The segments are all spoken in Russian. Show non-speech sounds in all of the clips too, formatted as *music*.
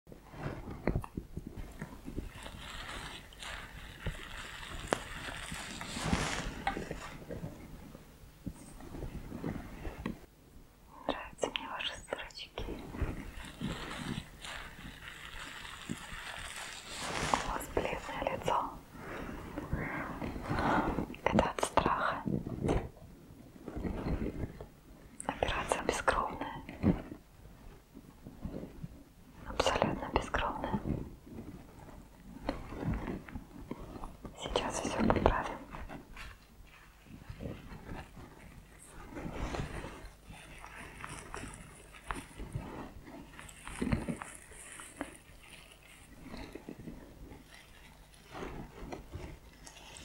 Нравятся мне ваши сырочки. У вас бледное лицо. Это от страха. Операция бескровная абсолютно бескровная. Сейчас все поправим.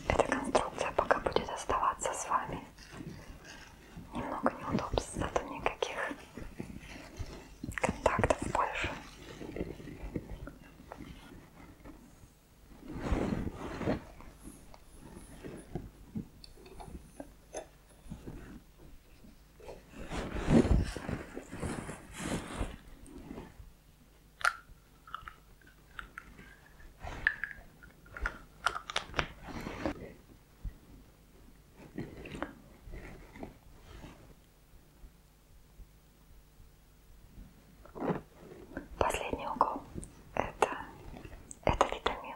Эта конструкция пока будет оставаться с вами. Немного неудобств, зато никаких контактов больше. Последний угол это, это витамин.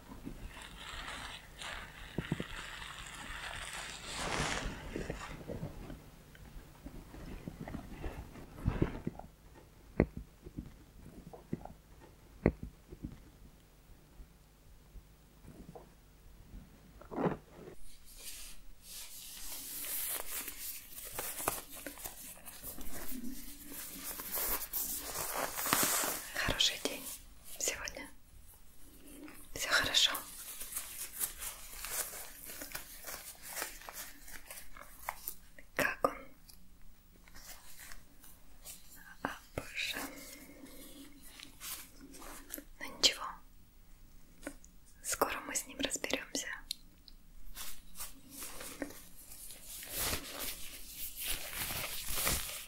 Хороший день сегодня. Все хорошо. Как он? А, боже. Ну ничего. Скоро мы с ним разберемся.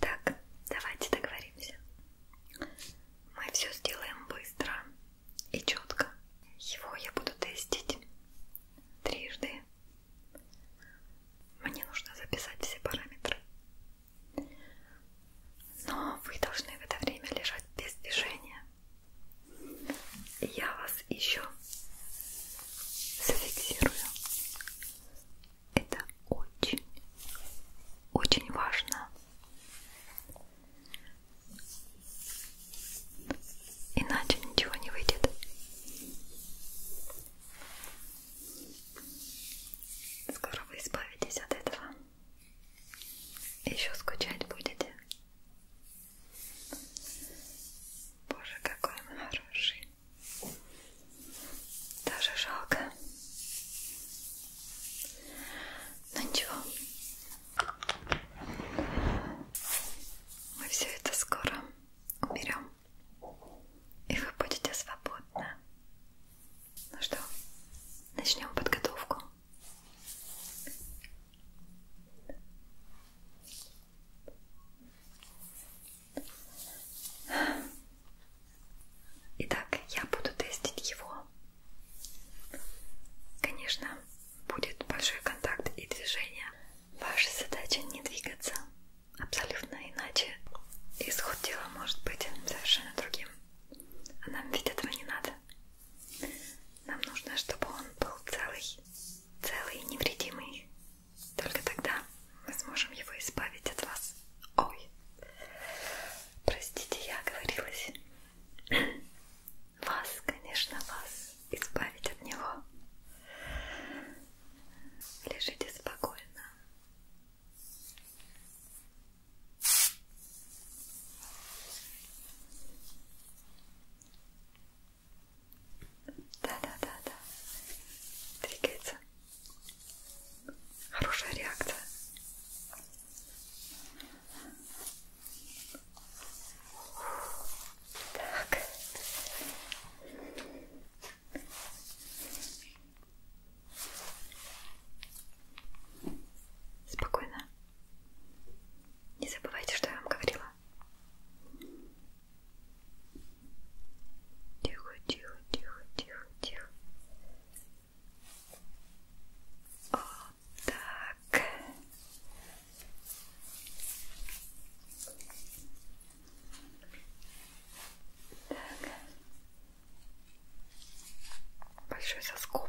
Так, давайте договоримся. Мы все сделаем быстро и четко. Его я буду тестить трижды. Мне нужно записать все параметры. Но вы должны в это время лежать без движения. Я вас еще зафиксирую. Это очень, очень важно. Иначе ничего не выйдет. Скоро вы избавитесь от этого. Еще скучать будете. Боже, какой он хороший. Даже жалко. Но ну, ничего. Мы все это скоро уберем. И вы будете свободны. Ну что, начнем подготовку. Итак, я буду тестить его. Конечно, будет большой контакт и движение. Ваша задача не двигаться абсолютно иначе. Исход дела может быть совершенно другим. А нам ведь этого не надо. Нам нужно, чтобы он был целый, целый и невредимый. Только тогда мы сможем его избавить от вас. Ой, простите, я оговорилась. *clears throat* Вас, конечно, вас избавить от него. Лежите спокойно. Да-да-да-да. Двигается. Хорошая реакция. Так. Спокойно. Не забывайте, что я вам говорила. Тихо, тихо, тихо, тихо, тихо. Вот так. Так. Большой соскоб.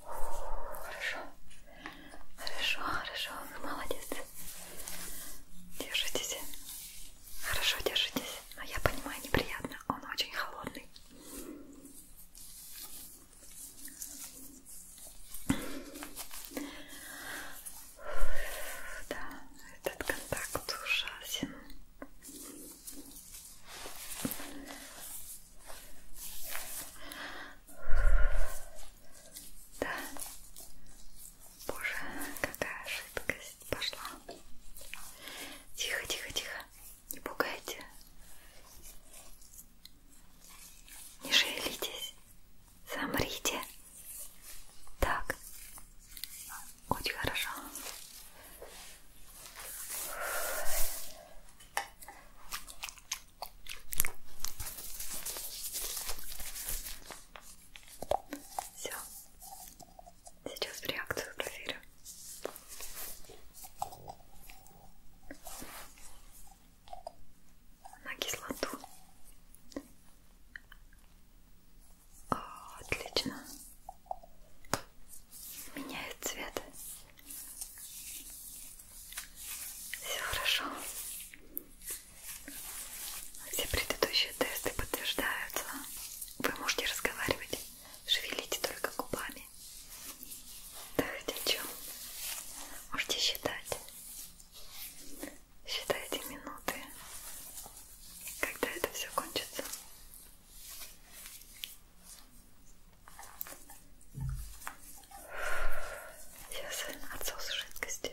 Хорошо, хорошо, хорошо, молодец. Держитесь. Хорошо держитесь. Но я понимаю, неприятно. Он очень холодный. Да, этот контакт ужасен. Да. Боже, какая жидкость пошла. Тихо, тихо, тихо. Не пугайте. Не шевелитесь. Замрите. Так, очень хорошо. Все, сейчас реакцию проверю. На кислоту. О, а, отлично. Меняет цвет. Все хорошо. Все предыдущие тесты подтверждаются. Вы можете разговаривать. Шевелите только губами. Да хотя чем? Можете считать. Считайте минуты когда это все кончится. Сейчас отсос жидкости.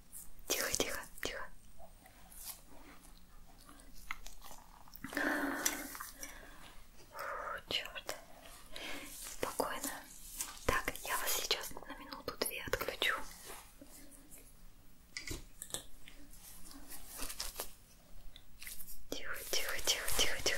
Тихо, тихо, тихо. Фу, черт. Спокойно. Так, я вас сейчас на минуту-две отключу. Тихо, тихо, тихо, тихо, тихо.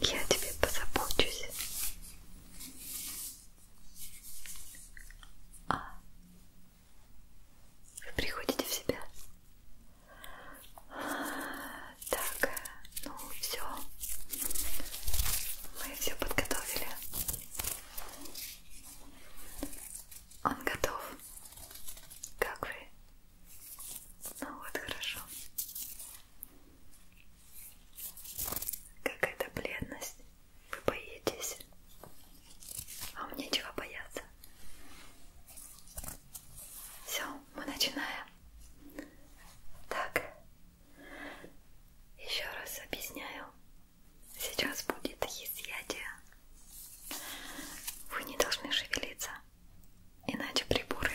Я о тебе позабочусь. А вы приходите в себя? Так, ну все. Мы все подготовили. Он готов. Как вы? Ну вот, хорошо. Какая-то бледность. Вы боитесь? А мне чего бояться? Все, мы начинаем. Так. Еще раз объясняю. Сейчас будет изъятие. Вы не должны шевелиться иначе приборы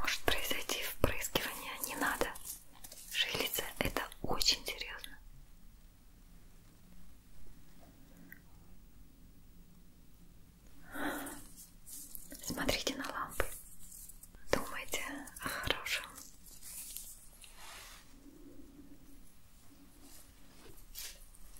может произойти впрыскивание. А не надо шевелиться, это очень серьезно. Смотрите на лампы, думайте о хорошем.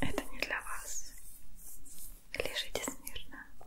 Это не для вас. Лежите смирно.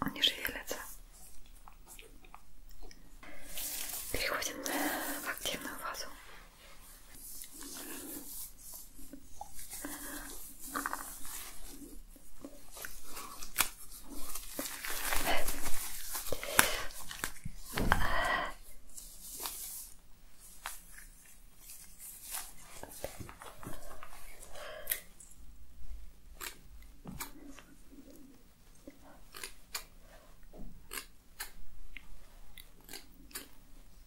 Он не шевелится. Переходим в активную фазу.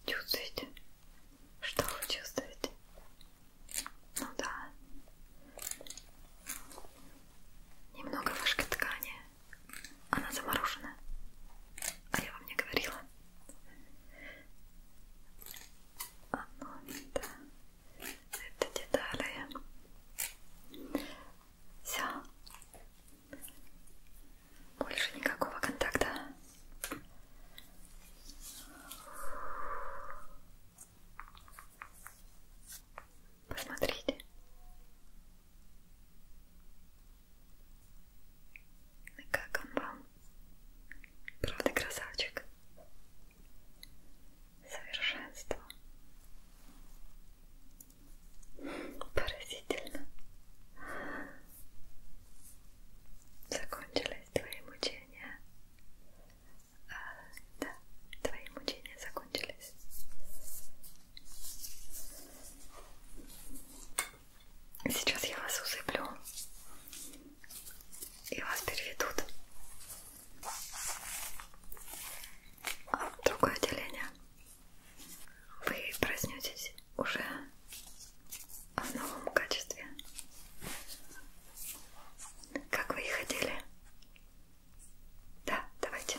Чувствуете? Что вы чувствуете? Ну да. Немного вышки ткани. Она заморожена. А я вам не говорила оно, да, это детали. Все. Больше никакого контакта. Посмотрите. И как он вам Правда, красавчик? Совершенство. Поразительно. Закончились твои мучения. А, да, твои мучения закончились. Сейчас я вас усыплю и вас переведут в а другое отделение. Вы проснетесь уже в новом качестве. Как вы и хотели. Да, давайте.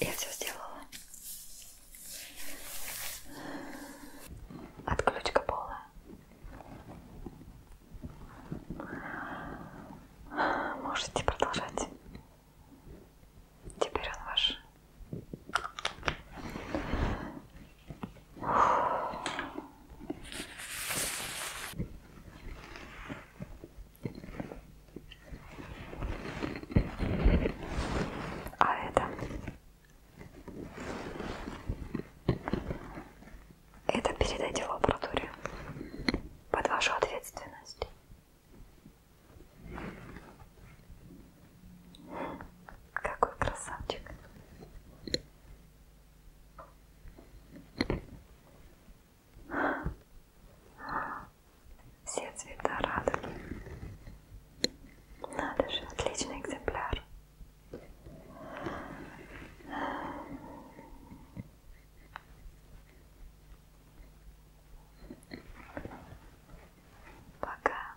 Я все сделала. Отключка полная. Можете продолжать. Теперь он ваш. А это? Это передайте в лабораторию под вашу ответственность. Какой красавчик. Все цвета радуги. Надо же, отличный экземпляр. Пока.